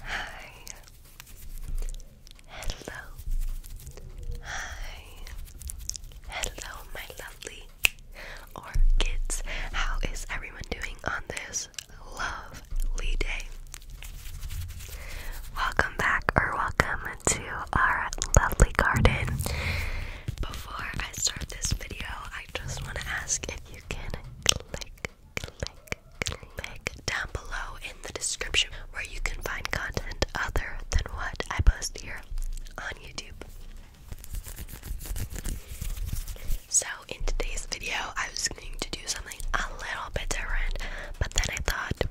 Hi. Hello. Hi. Hello, my lovely orchids. How is everyone doing on this lovely day? Welcome back or welcome to our lovely garden. Before I start this video, I just want to ask if you can click click, click down below in the description where you can find content other than what I post here on YouTube. So, in today's video, I was going to do something a little bit different, but then I thought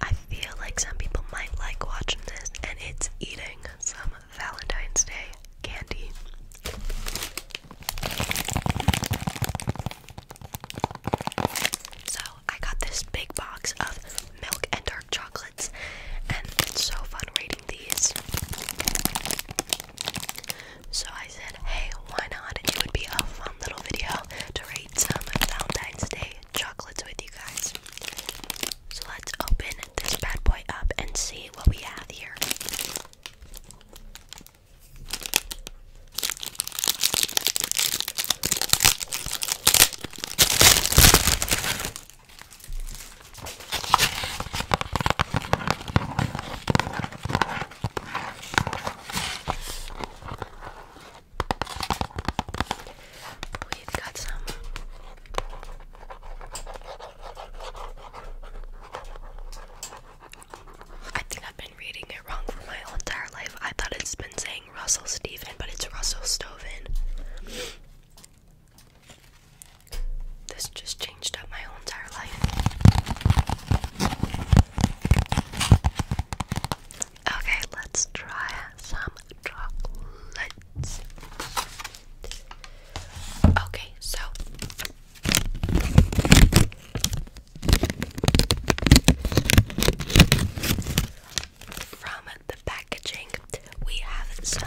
I feel like some people might like watching this, and it's eating some Valentine's Day candy. So I got this big box of milk and dark chocolates, and it's so fun rating these. So I said, hey, why not? It would be a fun little video to rate some Valentine's Day chocolates with you guys. So let's open this bad boy up and see what we have here. We've got some I think I've been reading it wrong for my entire life. I thought it's been saying Russell Stephen, but it's Russell Stoven. This just changed up my whole entire life. Okay, let's try some chocolates. Okay, so from the packaging, we have some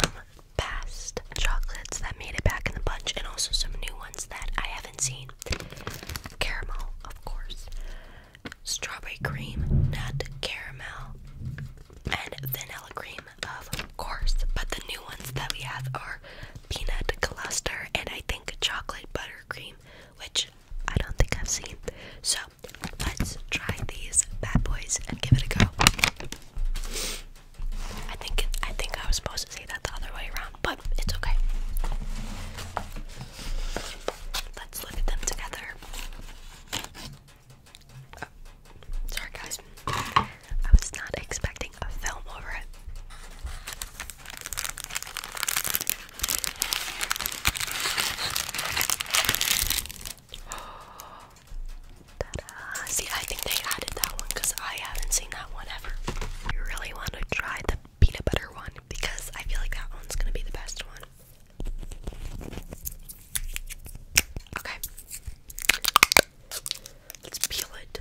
past chocolates that made it back in the bunch, and also some new ones that I haven't seen. Caramel, of course, strawberry cream, nut caramel, and vanilla cream of course, but the new ones that we have are peanut cluster and I think chocolate buttercream, which I don't think I've seen. So let's try these bad boys and give it a go. I think I think I was supposed to say that the other way around, but it's okay. Let's look at them together. Sorry, guys. I was not expecting a film over it. See, I think they added that one because I haven't seen that one ever. I really want to try the peanut butter one because I feel like that one's gonna be the best one. Okay. Let's peel it.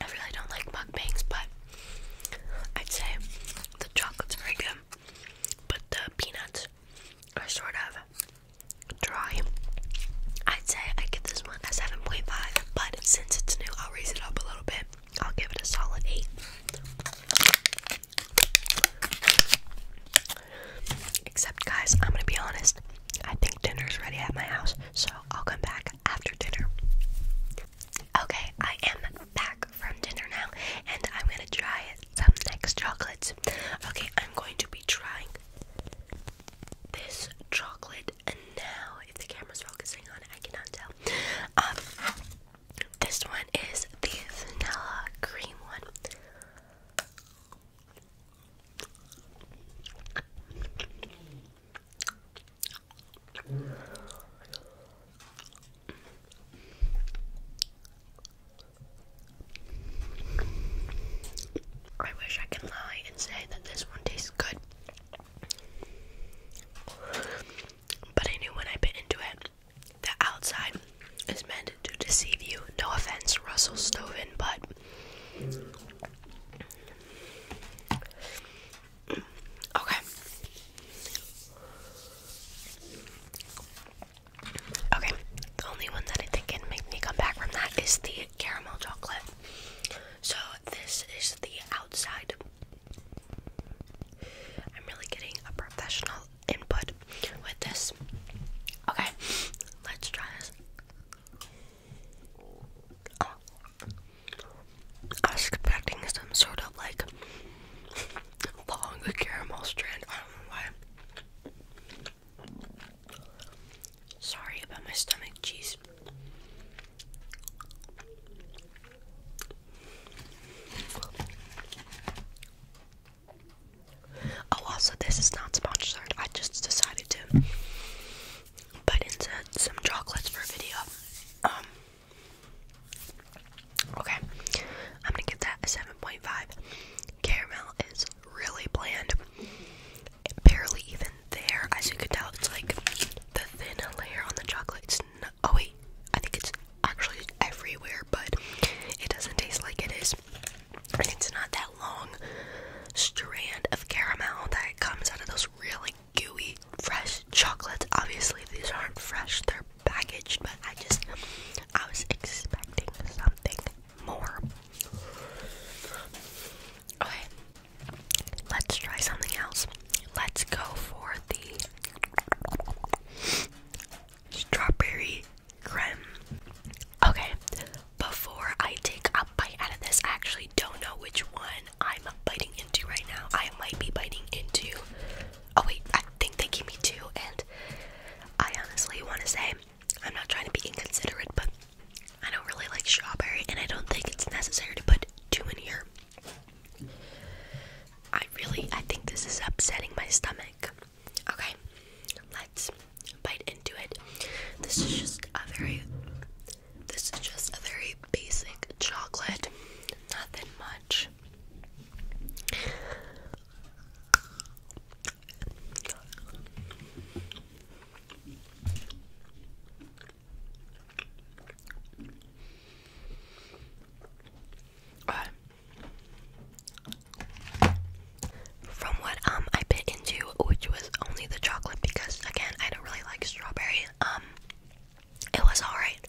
I really don't like mukbangs, but I'd say the chocolate's very good, but the peanuts are sort of dry. I'd say I give this one a 7.5, but since it's new, I'll raise it up a little bit. I'll give it a solid 8. Except, guys, I'm gonna be honest. I think dinner's ready at my house so I'll come back after dinner. Okay, I am back from dinner now, and I'm gonna try some next chocolates. Okay, I'm going to be trying this chocolate and now. If the camera's focusing on it, I cannot tell. Um, this one is the vanilla cream one. I wish I could lie and say that this one tastes good. But I knew when I bit into it, the outside is meant to deceive you. No offense, Russell Stoven, but Okay. Okay, the only one that I think can make me come back from that is the caramel chocolate. So, this is the outside. I'm really getting a professional input with this. Okay, let's try this. I oh. was expecting some sort of like long caramel strand. I don't know why. Sorry about my stomach, jeez. Oh, also, this is not sponsored. I just decided to put into some chocolates for a video. Um, okay, I'm gonna give that a 7.5. Caramel is really bland, barely even there. As you can tell, it's like the thin layer on the chocolate. It's no oh wait, I think it's actually everywhere, but it doesn't taste like it is. It's not that long strand of caramel that comes out of those really gooey fresh chocolates. Obviously, these aren't fresh, they're packaged, but I just, I was expecting something more. Okay, let's try something else. Let's go for the strawberry Okay, before I take a bite out of this, I actually don't know which one I'm biting into right now. I might be biting into. Oh, wait, I think they gave me two, and I honestly want to say I'm not trying to be inconsiderate, but I don't really like strawberry, and I don't think it's necessary to put two in here. I really, I think this is upsetting my stomach. Okay, let's bite into it. This is just a very this is just a very basic chocolate. Nothing much. From what um I bit into, which was only the chocolate because again I don't really like strawberry. Um, it was alright.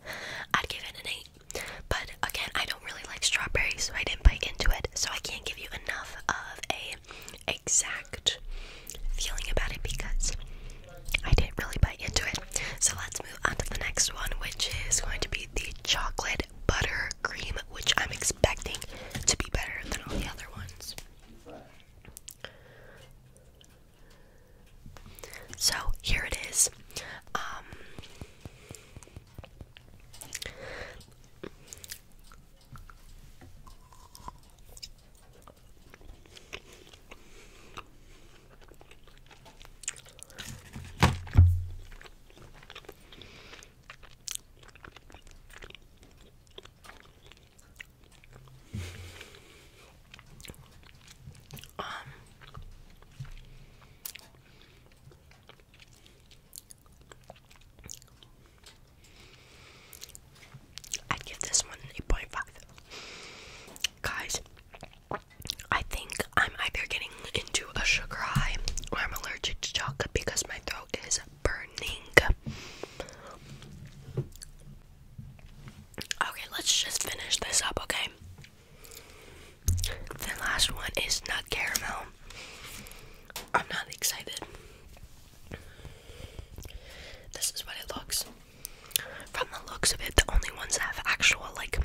I'd give it an eight, but again I don't really like strawberry, so I didn't bite into it. So I can't give you enough of a exact feeling about it because I didn't really bite into it. So let's move on to the next one, which is going to be the chocolate butter cream, which I'm expecting to be better than all the other ones. So here it is. Um, um, I'd give this one 8.5. Guys, I think I'm either getting into a sugar high or I'm allergic to chocolate because my throat is burning. Okay, let's just finish this up, okay? The last one is nut caramel. I'm not excited. This is what it looks. From the looks of it, the only ones that have actual like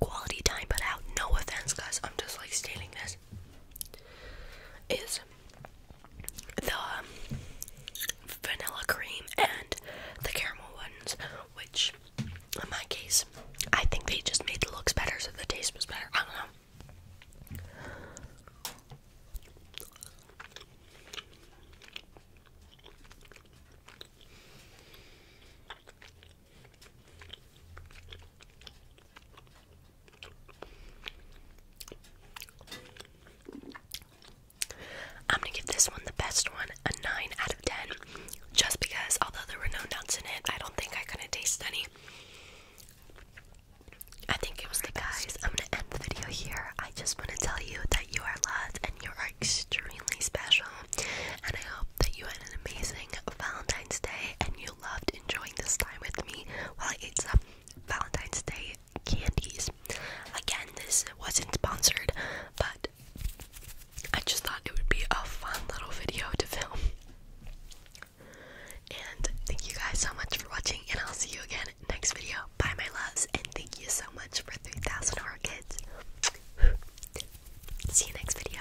quality time But out, no offense guys, I'm just like stealing this is the vanilla cream and the caramel ones, which in my case, I think they just made the looks better so the taste was better. I don't know. I'm gonna give this one the best one a 9 out of 10 just because although there were no nuts in it, I don't think I couldn't taste any. I think it was the guys. I'm gonna end the video here. I just want to tell you that you are loved and you are extremely special, and I hope that you had an amazing Valentine's Day and you loved enjoying this time with me while I ate some Valentine's Day candies. Again, this wasn't sponsored, but I just thought it would be a fun little video to film. And thank you guys so much for watching, and I'll see you again next video. Bye, my loves, and thank you so much for 3,000 orchids. see you next video.